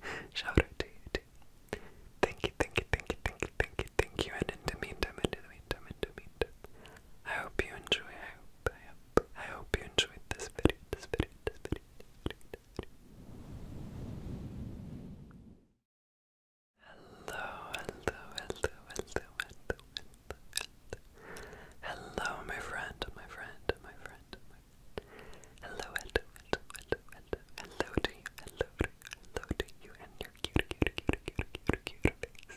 Shout out to you too. Thank you, thank you, thank you, thank you, thank you, thank you. And in the meantime, in the meantime, in the meantime, I hope you enjoy. I hope, I hope, you enjoyed this video, this video, this video, Hello, hello, hello, hello, hello, hello, hello, my friend, my friend, my friend, Hello, hello, hello, hello, hello, hello to you, hello to you, hello to you and your cute, cute, cute, cute, cute, cute face.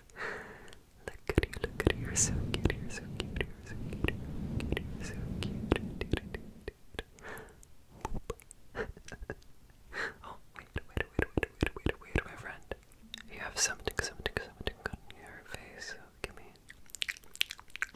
Look at you, look at you, you're so cute, you're so cute, you're so cute, you're so cute, you're so cute. oh, wait, wait, wait, wait, wait, wait, wait, my friend. You have something, something, something on your face, so give me.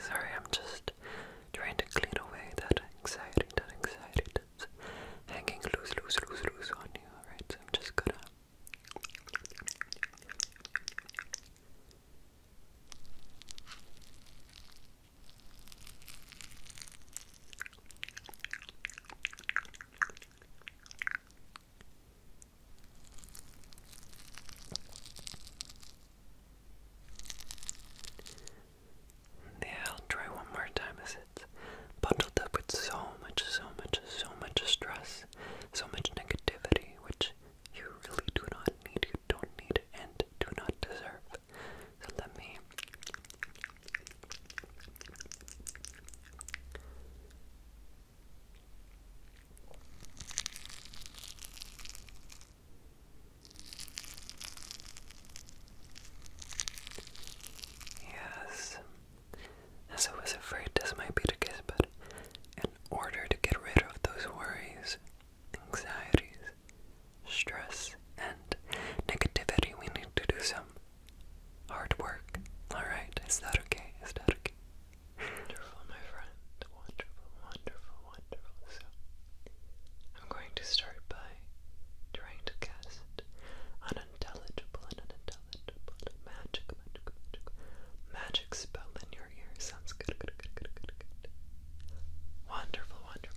Sorry, I'm just trying to clean away that anxiety, that anxiety hanging loose, loose, loose, loose on you. Alright, I'm just gonna yeah, i try one more time as it's bundled up with so much, so much, so much stress so much negativity, which you really do not need, you don't need, and do not deserve. let me Yes, as I was afraid this might be the case, but in order to get rid of those worries, anxieties, stress, and negativity, we need to do some hard work. Alright, is that okay? Is that okay? Wonderful, my friend. Wonderful, wonderful, wonderful. So, I'm going to start by trying to cast unintelligible and unintelligible magic, magic, magic, magic spell in your ear. Sounds good, good. Wonderful, wonderful.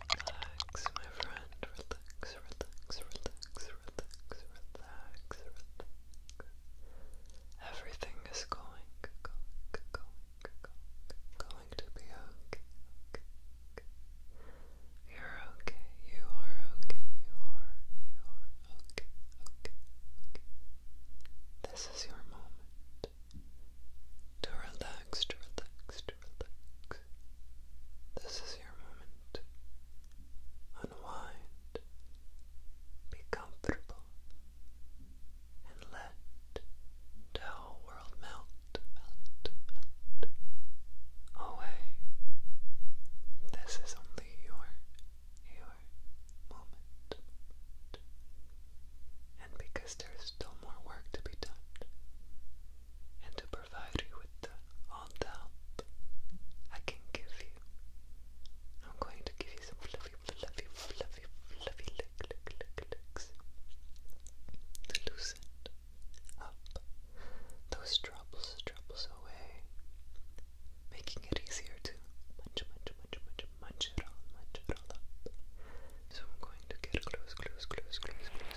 Relax, my friend. Relax, relax, relax, relax, relax, relax. Everything is going, going, going, going, going to be okay. You're okay. You are okay. You are. You are okay. Okay. This is your moment to relax, to relax, this is your moment. Unwind. Be comfortable. And let the whole world melt away. This is only your, your moment. And because there is still more work to be done, and to provide you with all the help I can give you. I'm going to give you some fluffy, fluffy, fluffy, fluffy lick, lick, lick, licks to loosen up those troubles, troubles away, making it easier to munch, munch, munch, munch, munch it all, munch it all up. So I'm going to get close, close, close, close, close.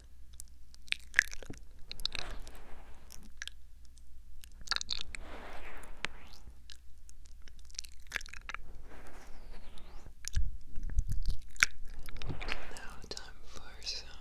Now, time for some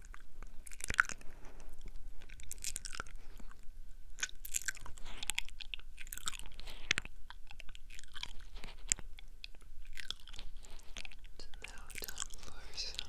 It's now time for some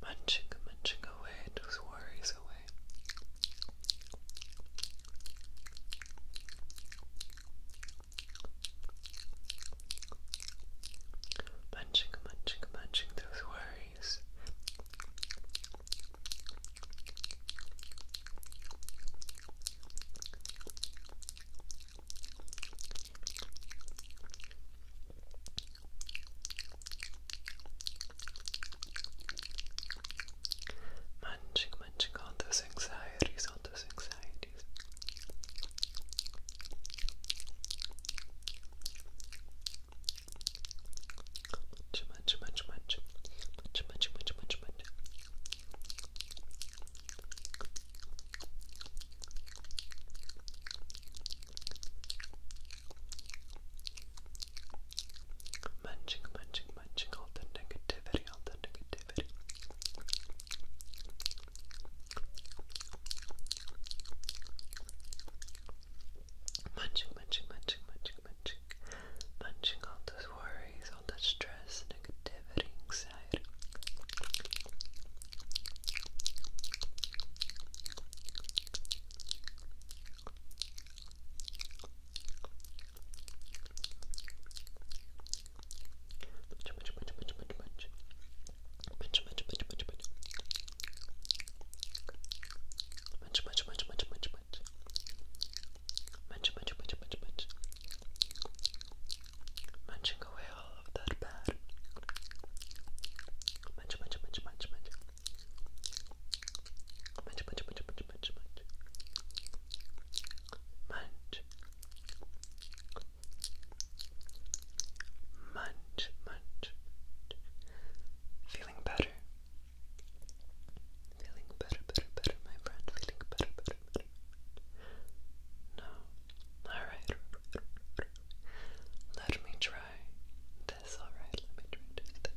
Munching, munching away, those worries away. Munching, munching, munching those worries. Munching, munching all those anxieties, all those anxieties. Munch, munch, munch, munch. Munch, munch, munch, munch, Munching, munching, munching all the negativity, all the negativity. Munching, munching, munching, munching, munching. Munching all those worries, takes stress, negativity, anxiety. Much, Munch, munch, munch, munch, munch. Munching away all of that bad. Munch, munch, munch, munch, munch. Munch, munch, munch, munch, munch, munch. Munch. Munch, munch. Feeling better? Feeling better, better, better, my friend. Feeling better, better, better. No. Alright. Let me try this, alright? Let me try this.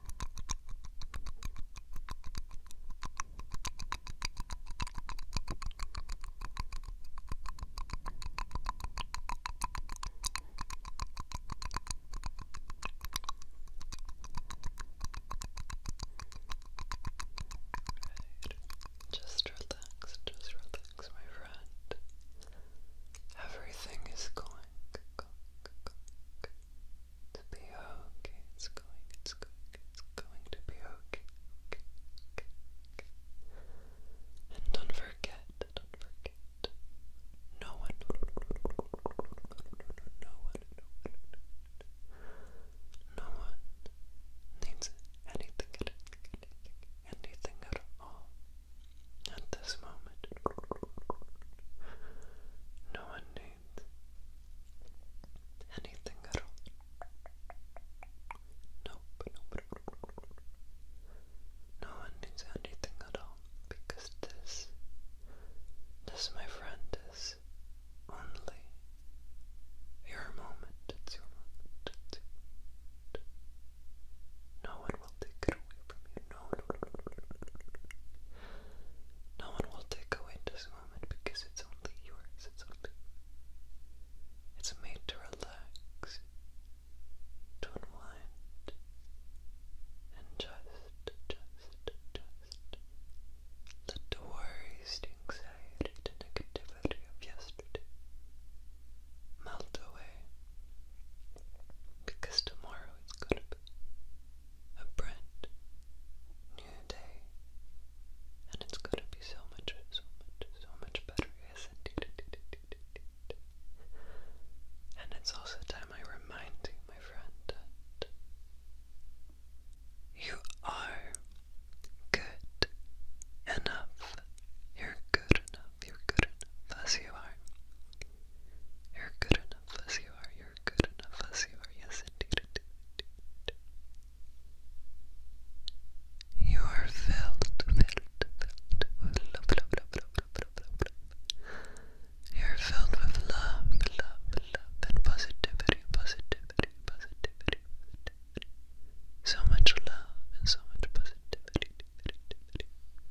Right. Just relax, just relax, my friend. Everything is going to be okay. It's going, it's going, it's going to be okay. And don't forget, don't forget, no one, no one, no one, no one needs anything, anything at all at this moment. No one needs anything at all. Nope, nope, nope. No one needs anything at all because this, this, my friend, is only your moment. It's your moment. No one will take it away from you no one will take away this moment because it's only yours. It's only It's made to relax, to unwind, and just, just, just let the worries, the anxiety, the negativity of yesterday melt away. Because tomorrow it's gonna be a brand new day, and it's gonna be so much, so much, so much better. and it's also time I remind you, my friend, you are good enough. You're good enough. You're good enough as you are. You're good enough as you are. You're good enough as you are. Yes, indeed, You are filled, filled, filled with love, love, love, love, love, love, love. You're filled with love, love, love, and positivity, positivity, positivity, positivity. So much love and so much positivity.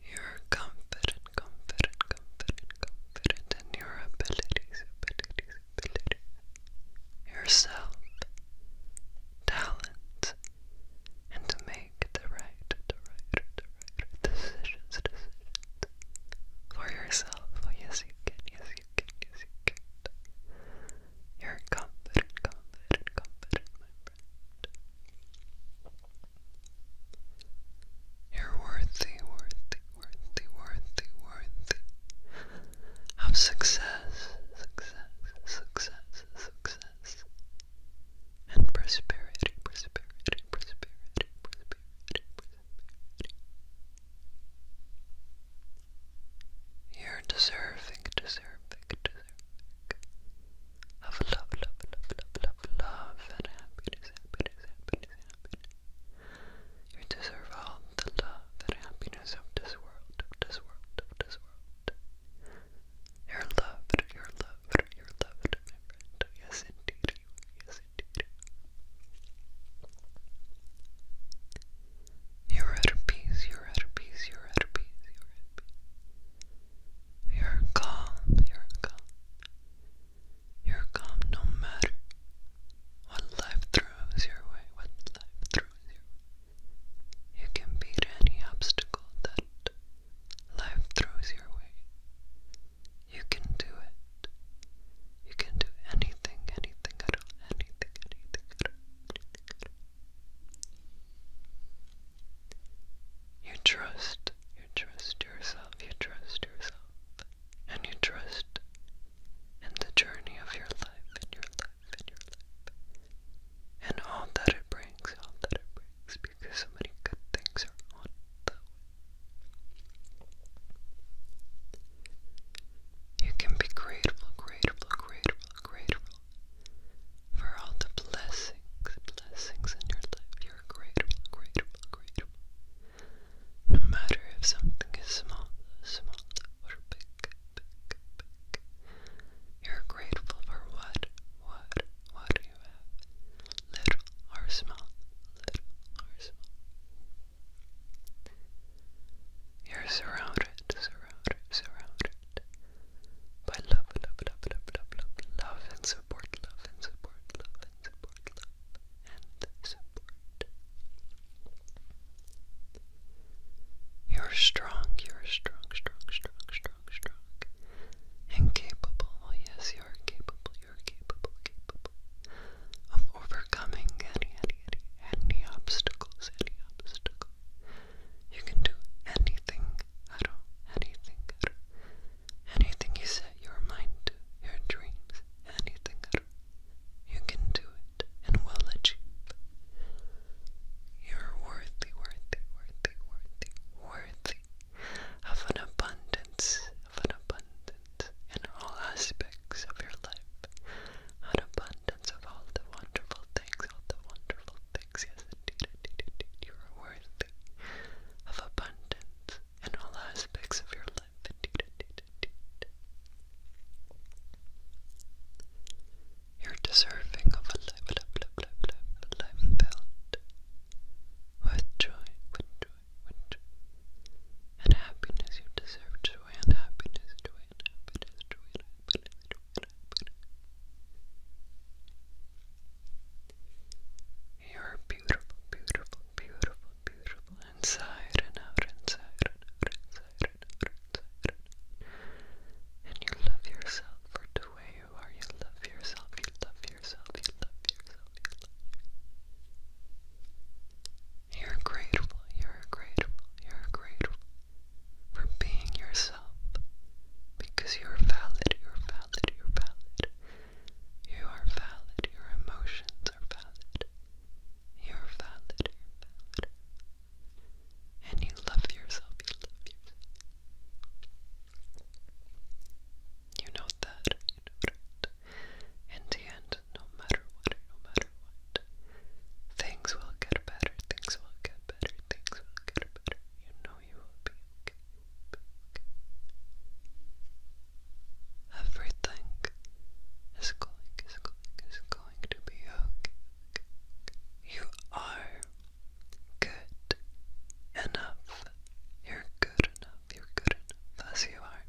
You're confident, confident, confident, confident in your abilities, abilities, abilities. Yourself, talent, and to make the right, right, right decisions, decisions for yourself. yes, you can, yes, you can, yes, you can. You're confident, confident, confident, you're worthy, worthy, worthy, worthy, worthy of success, success, success, success, and prosperity, prosperity, prosperity, prosperity, prosperity. You're deserving, deserving, deserving of love, love, love, love, love, love, and happiness, happiness, happiness, happiness. You deserve all the love and happiness of this world, of this world, of this world. You're loved, you're loved, you're loved, Yes, indeed, you Yes, indeed. You're at peace, you're at peace, you're at peace, you're at peace. You're calm, you're calm. You're calm no matter what life throws your way, what life throws your You can beat any obstacle that life throws your way. You can do it. You can do anything, anything at all, anything, anything at all. You trust you trust yourself, you trust yourself, and you trust in the journey of your life, and your life, and your life, and all that it brings, all that it brings, because so many good things are on the way. You can be grateful, grateful, grateful, grateful for all the blessings, blessings in your life. You're grateful, grateful, grateful. No matter if something is small, small, or big, big, big, you're grateful for what, what, what you have, little or small, little or small. You're surrounded, surrounded, surrounded by love, love, love, love, love, love, love and support love and support love and support love and support. You're strong, you're strong, strong, strong, strong, strong. And capable, well, yes, you're capable, you're capable, capable of overcoming any, any, any, any obstacles, any obstacle. You can do anything at all, anything at all. Anything you set your mind to, your dreams, anything at you can do it and will achieve. You're worthy, worthy, worthy, worthy, worthy of an abundance, of an abundance in all aspects of your life, an abundance of all the wonderful things, all the wonderful things. Yes, indeed, indeed, indeed, you are worthy of abundance in all aspects of your life. You're deserving of a life, life, life, life, life filled with joy, with joy, with joy, and happiness. You deserve joy and happiness, joy and happiness, joy and happiness, joy and happiness. You're beautiful, beautiful, beautiful, beautiful inside and out, inside and out, inside and out, inside and out. And you love yourself for the way you are. You love yourself, you love yourself, you love yourself, you are grateful, you're grateful, you're grateful for being yourself because you're valid, you're valid, you're valid. You are valid. Your emotions are valid. You're valid. And you love yourself. You love yourself. You know that. You know that. In no matter what, no matter what, things will get better. Things will get better. Things will get better. You know you will be Everything is going, is going, is going to be okay. You are good enough. You're good enough. You're good enough as you are.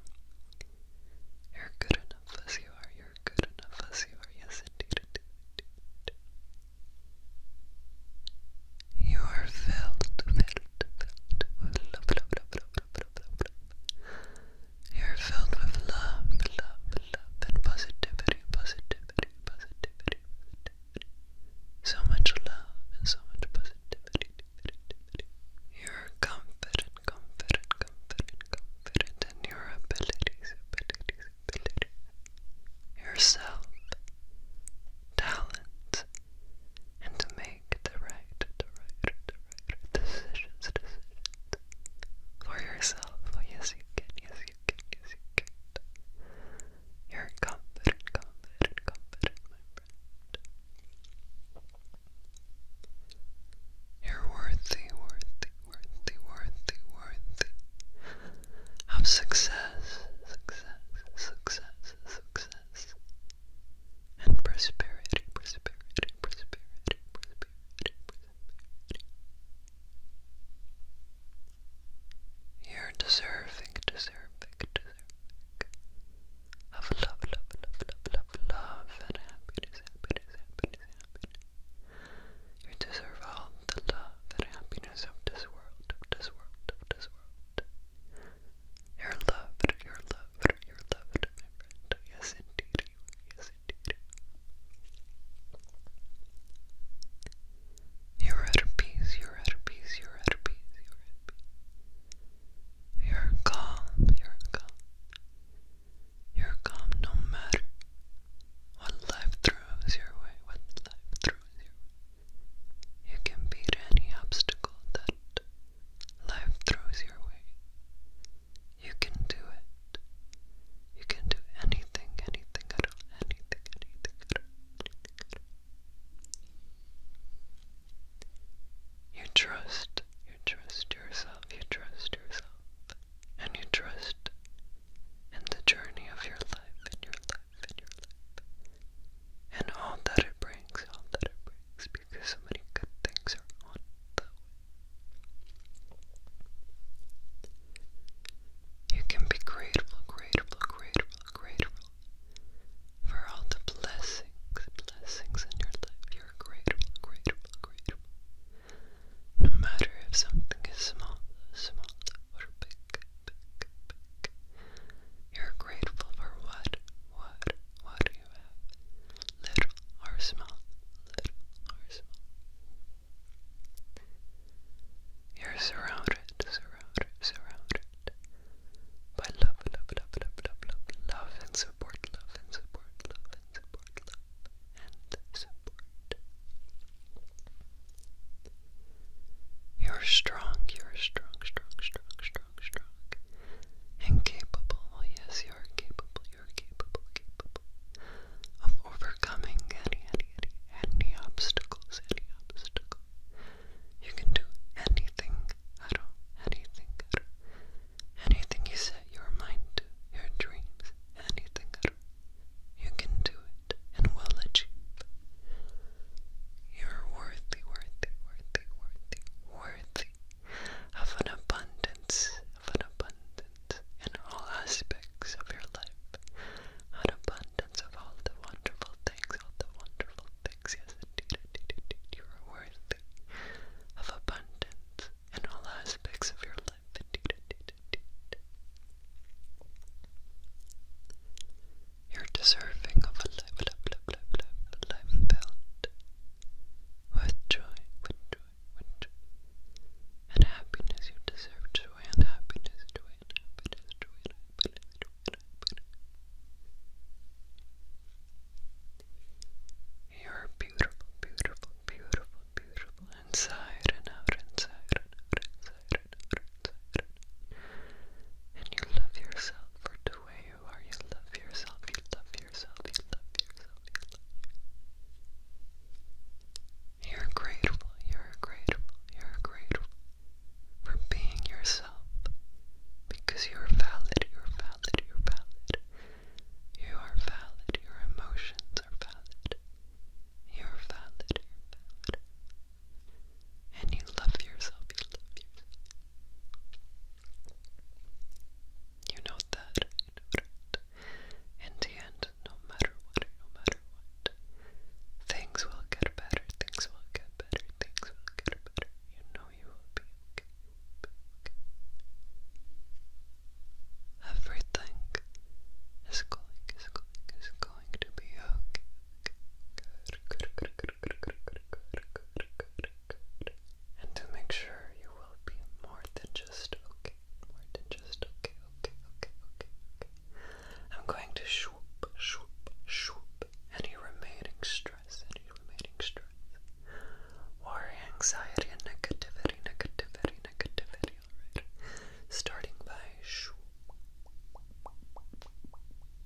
You're good enough as you are. You're good enough as you are. Yes, indeed. You are filled, filled, filled with love, love, love, love, love, love, love. You are filled with love, love, love, and positivity, positivity, positivity, positivity. So much love and so much positivity. positivity. You are confident, confident, confident, confident in your abilities, abilities, abilities. Yourself, talent, and to make the right, the right, the right decisions, for yourself. Oh, yes, you can, yes, you can, yes, you can. You're confident, confident, confident, You're worthy, worthy, worthy, worthy, worthy of success, success, success, success and prosperity, prosperity, prosperity, prosperity, prosperity. You're deserving, deserving, deserving of love, love, love, love, love, love, and happiness, happiness, happiness, happiness. You deserve all the love and happiness of this world, of this world, of this world. You're loved, you're loved, you're loved, my friend. Yes, indeed, you are. Yes, indeed. You're peace, you're at peace, you're peace, you calm, you calm. you calm no matter what life throws your way, what life throws your way. You can beat any obstacle that life throws your way. You can do it. You can do anything, anything at all, anything, anything at all, You trust, you trust yourself, you trust yourself, and you trust in the journey of your life, in your life, in your life and all that it brings, all that it brings, because so many good things are on the You can be grateful, grateful, grateful, grateful for all the blessings, blessings in your life. You're grateful, grateful, grateful. No matter if something is small, small, or big, big, big. You're grateful for what, what, what do you have? Little or small? Little or small? You're surrounded, surrounded, surrounded by love, love, love, love, love, love, and support, love and support, love and support, love and support. You're strong, you're strong, strong, strong, strong, strong and capable. Oh, yes, you are capable. You are capable, capable of overcoming any, any, any, any obstacles, any obstacle. You can do anything at all, anything at all. Anything you set your mind to, your dreams, anything at all. You can do it and will achieve. You're worthy, worthy, worthy, worthy, worthy of an abundance, of an abundance in all aspects of your life, an abundance of all the wonderful things, all the wonderful things. Yes, indeed, indeed, indeed, you are worthy of abundance in all aspects of your life. You're deserving of a life, life, life, life, life, life filled with joy, with joy, with joy, and happiness. You deserve joy and happiness, joy and happiness, joy and happiness, You're beautiful, beautiful, beautiful, beautiful inside and out, inside and out, inside and out. And you love yourself for the way you you are. You love yourself. You love yourself. You love yourself. You love yourself. You're grateful. You're grateful. You're grateful for being yourself because you're valid. You're valid. You're valid. You are valid. Your emotions are valid. You're valid. You're valid and you love yourself, you love yourself. You know that, In the end, no matter what, no matter what, things will get better, things will get better, things will get better. You know you will be okay, Everything is going, is going, is going to be okay. And to make sure you will be more than just okay, more than just okay, okay, okay, okay, okay. I'm going to swoop, swoop, swoop any remaining stress, any remaining stress, worry, anxiety, and negativity, negativity, negativity, alright? Starting by swoop.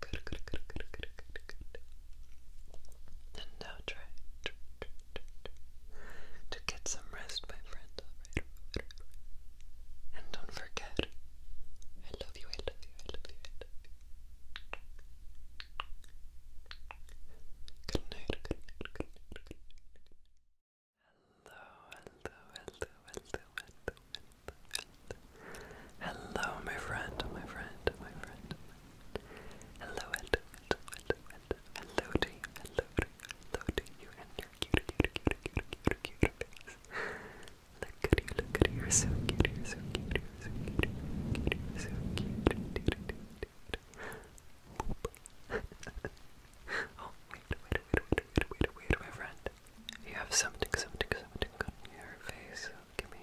Good, And now try, to get some rest, my friend. And don't forget, I love you, I love you, I love you, I love you. hello, hello, hello, hello, hello. Hello, my friend, my friend, my friend. Hello, hello, hello, hello, hello, hello to you, hello to you, hello to you, and your cute, cute, cute, cute, cute, cute face. Look at you, look at you, you're so cute, you're so cute, you're so cute, you're so cute, you're so cute, dude, dude, dude. oh, wait, wait, wait, wait, wait, wait, wait, my friend. You have something, something, something on your face. give me.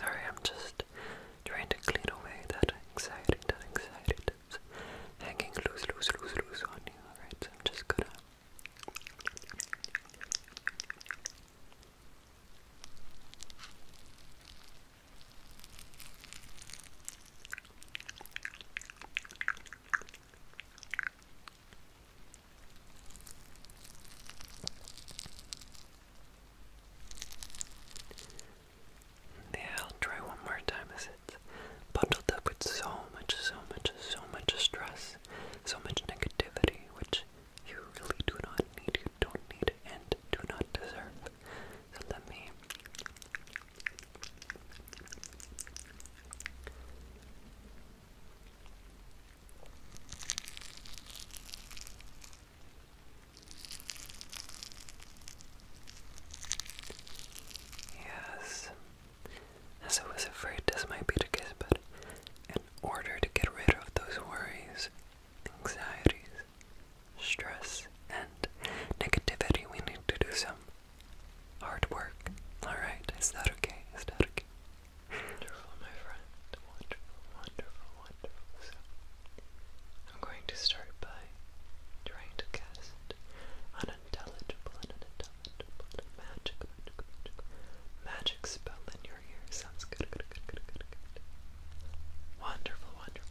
Sorry, I'm just trying to clean away that anxiety, that anxiety, sentence hanging loose, loose, loose, loose on you. Alright, so I'm just gonna. Yeah, I'll try one more time as it's bundled up with so much, so much, so much stress, so much negativity, which you really do not need, you don't need, and do not deserve. let me. Yes. As I was afraid this might be the case, but in order to get rid of those worries, anxieties, stress, and negativity, we need to do some hard work. Alright, is that okay? Is that okay? Wonderful, my friend. Wonderful, wonderful, wonderful. So, I'm going to start by by trying to cast unintelligible unintelligible magic, spell in your ear. Sounds good, good. Wonderful, wonderful.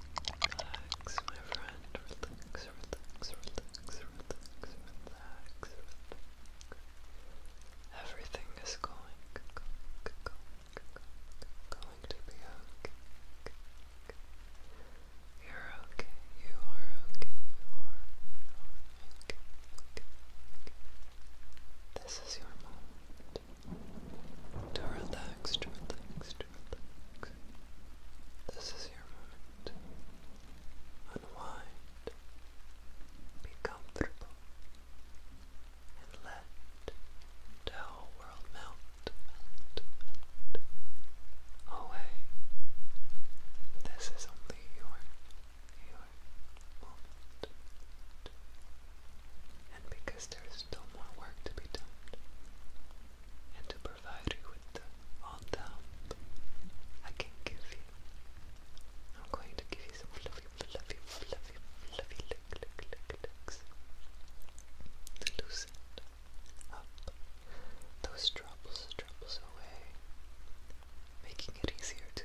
Relax, my friend. Relax, relax, relax, Everything is going, to be okay. You're okay. You are okay. This is your moment to relax, to relax, to relax. This is your moment. Unwind, be comfortable, and let the whole world melt, away. This is only your, your moment because there is still more work to be done, and to provide you with all the I can give you, I'm going to give you some fluffy, fluffy, fluffy, fluffy lick, lick, lick, licks to loosen up those troubles, troubles away, making it easier to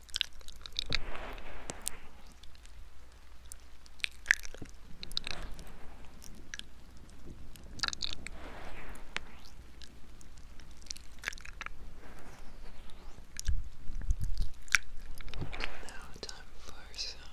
Now, time for some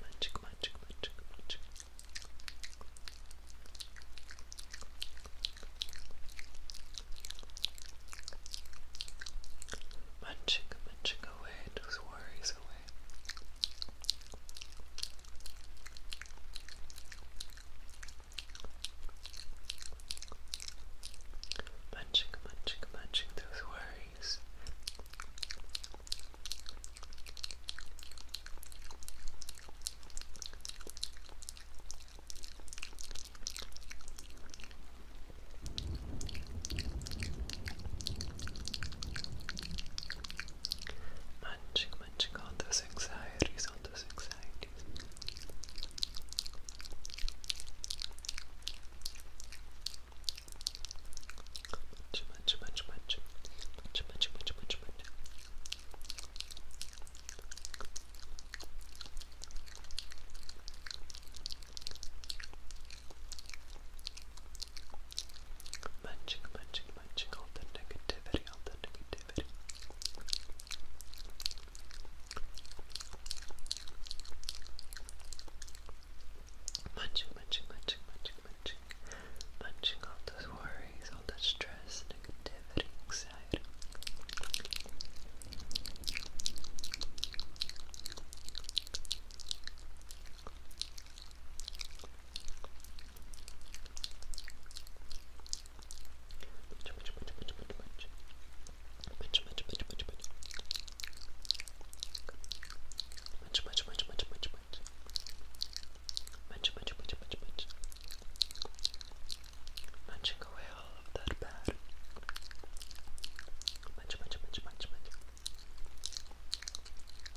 Magic, magic, magic, magic. Magic, magic away, those worries away. Magic, magic, magic, those worries face. Munching, munching on those anxieties, on those anxieties much, much, much, much, much, much, much, much, much. Munching, munching, munching, all the negativity, all the negativity. Munching, munching, munching, munching, munching munching, munching off those worries, all that stress, negativity, anxiety. Munch, munch, munch, munch, munch, munch. Munch, munch, munch, munch, munch. Munch, munch, munch, munch, munch, munch. Munch, munch, munch, munch, munch. Munching away all of that bad. Munch, munch, munch, munch, munch.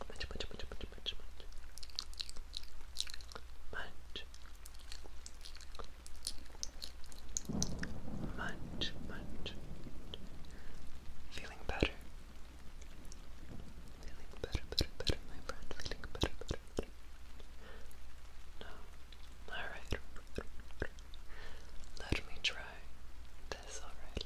Munch, munch, munch, munch, munch, munch. Munch. Munch, munch. Feeling better. Feeling better, better, better, my friend. Feeling better, better, better. No. Alright. Let me try this, alright?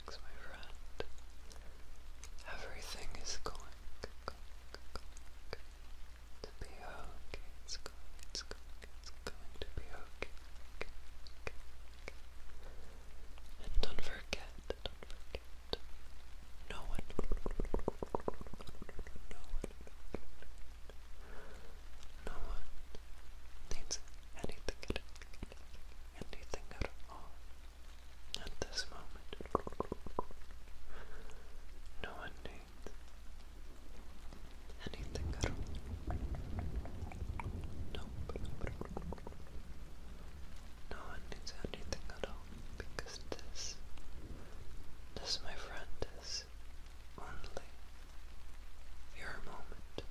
relax, my Everything is going, to be okay. It's going, it's going, it's going to be okay. And don't forget, don't forget, no one, no one, no one needs anything, anything at all at this moment. No one needs anything at all. Nope. No one needs anything at all because this, this, my friend, is only your moment.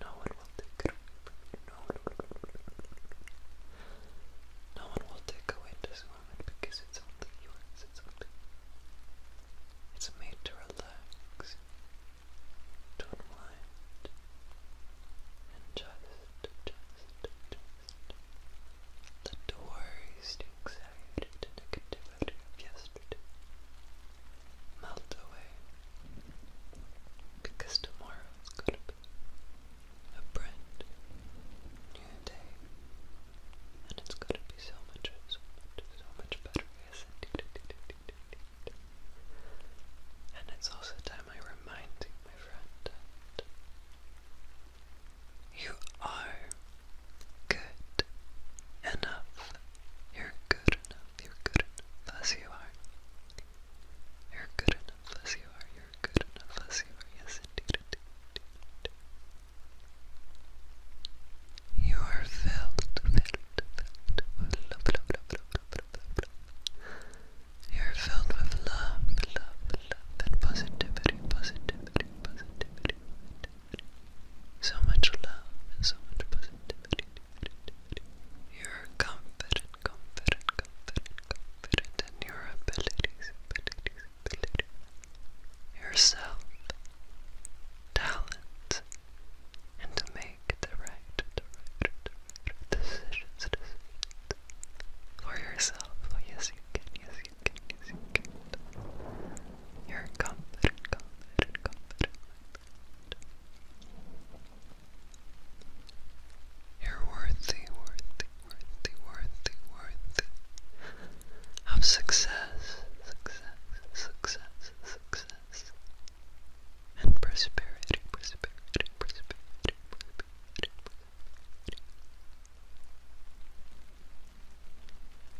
No one will take it No one will, take away this moment because it's only yours. It's only. It's made to relax, to unwind, and just, just, just let the worries, the anxiety, the negativity melt away. Because tomorrow's gonna be a brand new day. And it's gonna be so much, so much, better. Yes, indeed, indeed, indeed, And it's also time I remind you, my friend, you are good enough. You're good enough. You're good enough as you are. You're good enough as you are. You're good enough as you are. Yes, indeed, You are filled, filled, filled with love, love, love, love, love, love, love. You are filled with love, love, love, and positivity, positivity, positivity. So much love and so much positivity. You're confident, confident, confident, confident in your abilities, abilities, abilities. Yourself, talent, and to make the right, decisions, for yourself. Oh, yes, you can, yes, you can, yes, you can. You're confident, confident, confident. You're worthy, worthy, worthy, worthy, worthy of success, success, success, success, and prosperity, prosperity, prosperity, prosperity.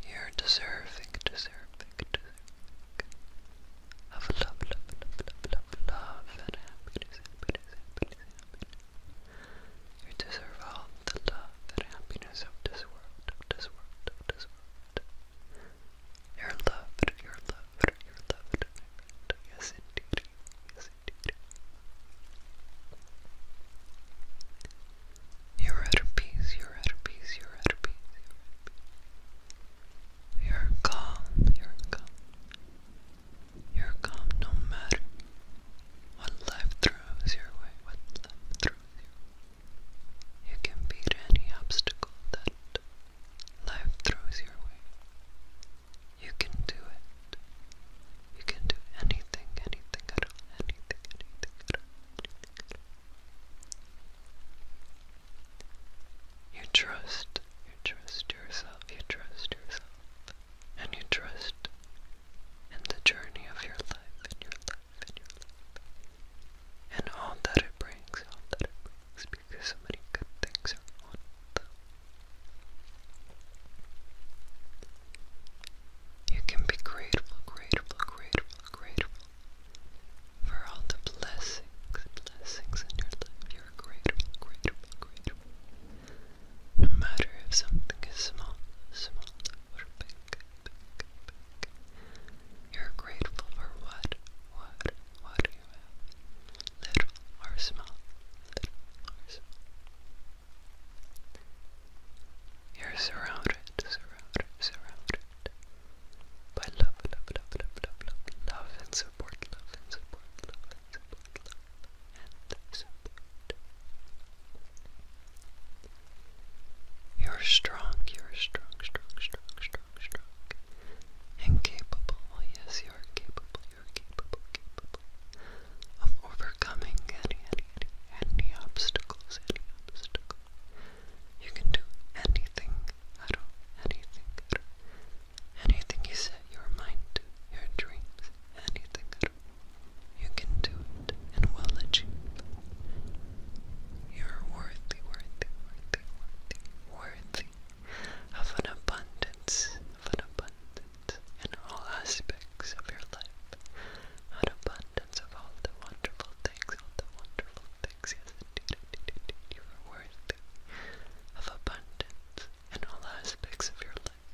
You're deserving, deserving, deserving, of love, love, love, love, love, love, and happiness, You deserve all the love and happiness of this world, of this world, of this world. You're loved, you're loved, Yes, indeed, yes, indeed. you're at peace, you're at peace, you're at peace. You're calm, you're calm. You're calm no matter what life throws your way, what life throws your way. You can beat any obstacle that life throws your way. You can do it. You can do anything, anything at all, anything, anything at all, you trust, you trust yourself, you trust yourself, and you trust in the journey of your life, and your life, and your life, and all that it brings, all that it brings, because so many good things are on them. You can be grateful, grateful, grateful, grateful for all the blessings, blessings in your life. You're grateful, grateful, grateful. No matter if something is small, small, or big, big. You're grateful for what, what, what you have. Little or small, little or small. You're surrounded, surrounded, surrounded loved by love, love, love, love, love, love, love and support, love and support, love and support, love and support. You're strong, you're strong, strong, strong, strong, strong. And capable, well, yes, you are capable, you're capable, capable of overcoming any, any, any, any obstacles, any obstacles. You can do anything, anything, Anything you set your mind to, your dreams, anything, You can do it and will achieve. You're worthy, worthy, worthy, worthy, worthy of an abundance, an abundance in all aspects of your life. An abundance of all the wonderful things, all the wonderful things exist. You are worthy of abundance in all aspects of your life.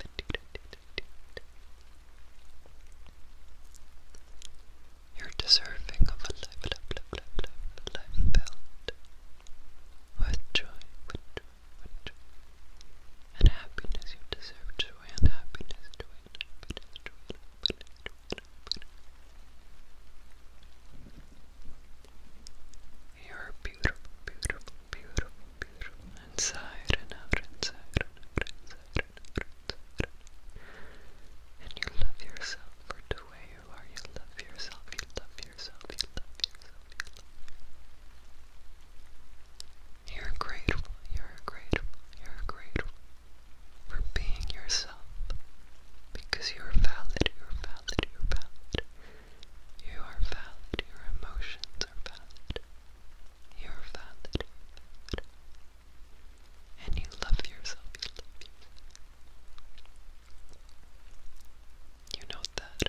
You're deserving of a life, life, life, life, life filled with joy, with joy, with joy, and happiness. You deserve joy and happiness, joy and happiness, joy and happiness. You're beautiful, beautiful, beautiful, beautiful. Inside and out, inside and out, inside and out, inside and out. And you love yourself for the way you are. You love yourself, you love yourself, you love yourself, you love yourself. You're grateful, you're grateful, you're grateful, for being yourself because you are valid, you are valid, you are valid. You are valid, your emotions are valid. You are valid, valid. And you love yourself, you love yourself. You know that.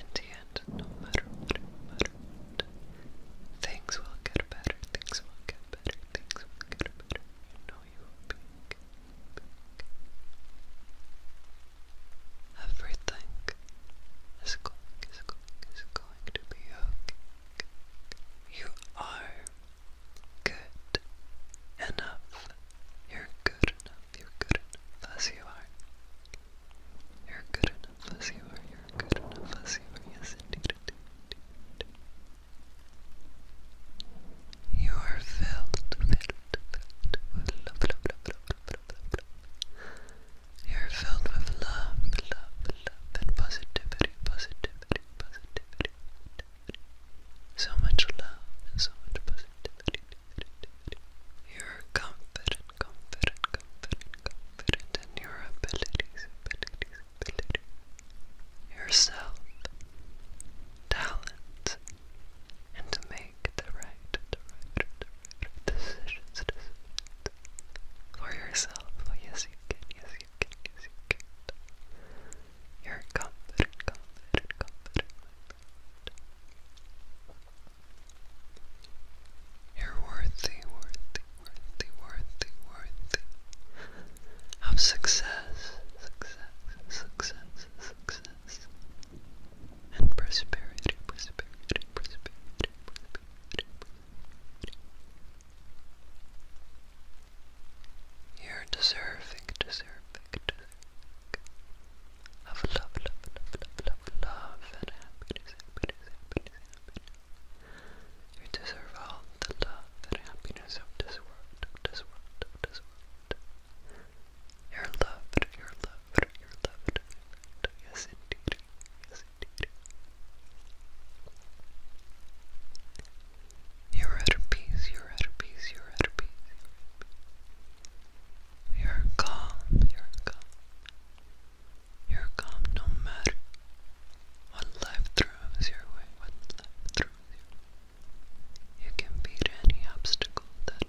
In the end, no matter what, no matter what, things will get better, things will get better, things will get better. You know you Everything is going, is going, is going to be okay. You are good enough. You're good enough. You're good enough as you are. You're good enough as you are. You're good enough as you are. Yes, indeed. You are filled, filled, filled with love, love, love, love, love, love, love. You are filled with love, love, love, and positivity, positivity, positivity, So much love and so much positivity. You are confident, confident, confident, confident in your abilities, yourself, talent, and to make the right, decisions, for yourself. Oh, yes, you can, yes, you can, yes, you can. You're confident, confident, confident. You're worthy, worthy, worthy, worthy, worthy of success, success, success, success, and prosperity, prosperity, prosperity, prosperity. You're deserving, deserving, deserving of love, love, love, love, love, love, and happiness, happiness, happiness, happiness. You deserve all the love and happiness of this world, of this world, of this world. you're loved, you're loved, you're loved. Yes, indeed. Yes, indeed. You're at peace, you're at peace, you're at peace. You're calm, you're calm. You're calm no matter what life throws your way, what life throws you can beat any obstacle that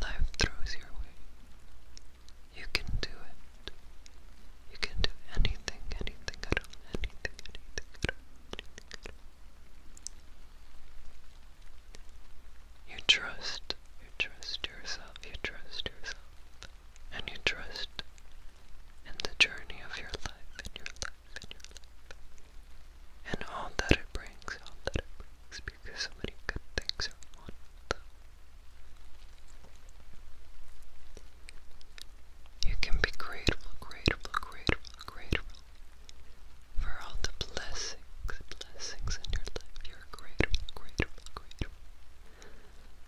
life throws your way. You can do it. You can do anything, anything at all, anything, anything at all, anything at all. You trust, you trust yourself, you trust yourself, and you trust in the journey of your life, in your life and all that it brings, all that it brings, because so many good things are on them. You can be grateful, grateful, grateful, grateful for all the blessings, blessings in your life. You're grateful, grateful, grateful.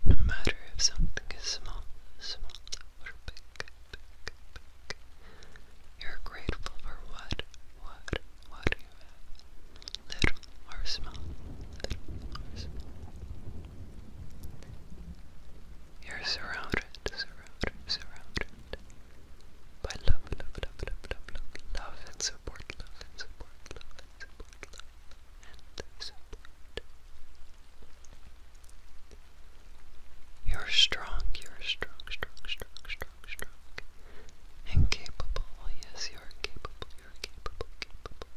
No matter if something is small, small, you're grateful for what, what, what you little or small, You're surrounded, surrounded by love, love, love, love, love, love, love and support, love and support, love and support, love and support. You're strong, you're strong, strong, strong, strong, strong. And yes, you're capable, you're capable, capable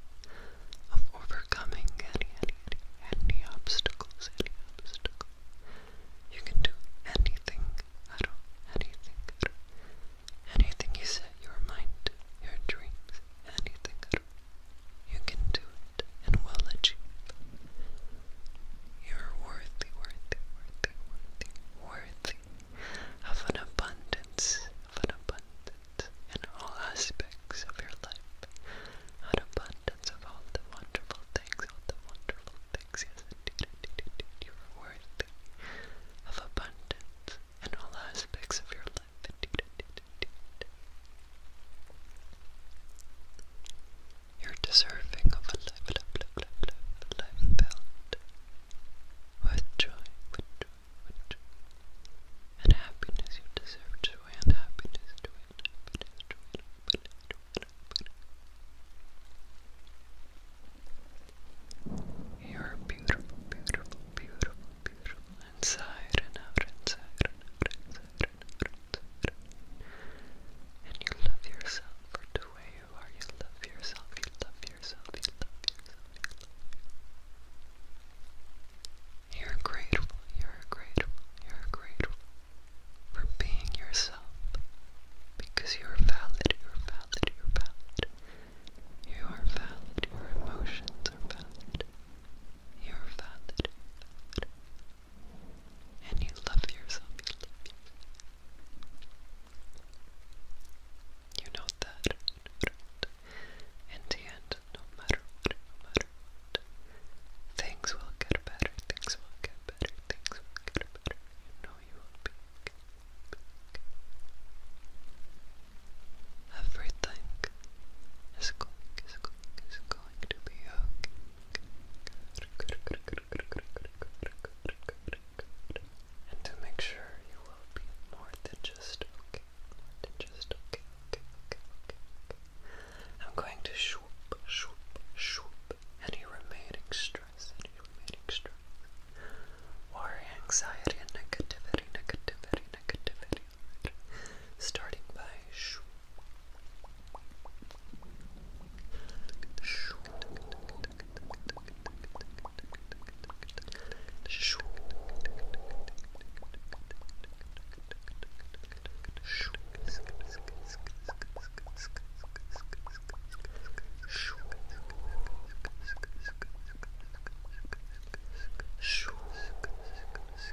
of overcoming any, any, any obstacles, any obstacle. You can do anything anything Anything you set your mind your dreams, anything You can do and will achieve. You're worthy, worthy, worthy, worthy, worthy of an abundance, of an abundance in all aspects of your life, an abundance of all the wonderful things, all the wonderful things. Yes, indeed, indeed, indeed, you are worthy of abundance in all aspects of your life. Indeed, indeed, you're deserving of a life, life, life, life, life filled with joy, with joy, with joy, and happiness. You deserve joy and happiness, You're beautiful, beautiful, beautiful, beautiful inside and out, and you love yourself for the way you are. You love yourself. You love yourself. You love yourself. You love yourself. You're grateful. You're grateful. You're grateful for being yourself because you're valid. You're valid. You're valid. You are valid. Your emotions are valid. You're valid. And you love yourself. You know that. In the end, no matter what, things will get better. Things will get better. Things will get better. You know you will be okay. Everything is going to be okay. And to make sure you will be more than just okay, I'm going to swoop, swoop, swoop any remaining stress, any remaining stress, worry, anxiety, and negativity, negativity, negativity, starting by shoo, shoo, shoo, shoo, shoo, shoo,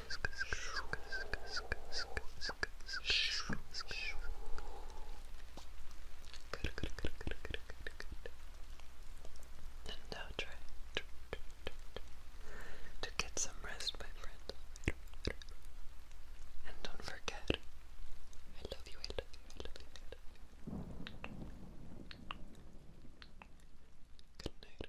And now try to get some rest, my friend. And don't forget, I love you, I love you, I love you, good night.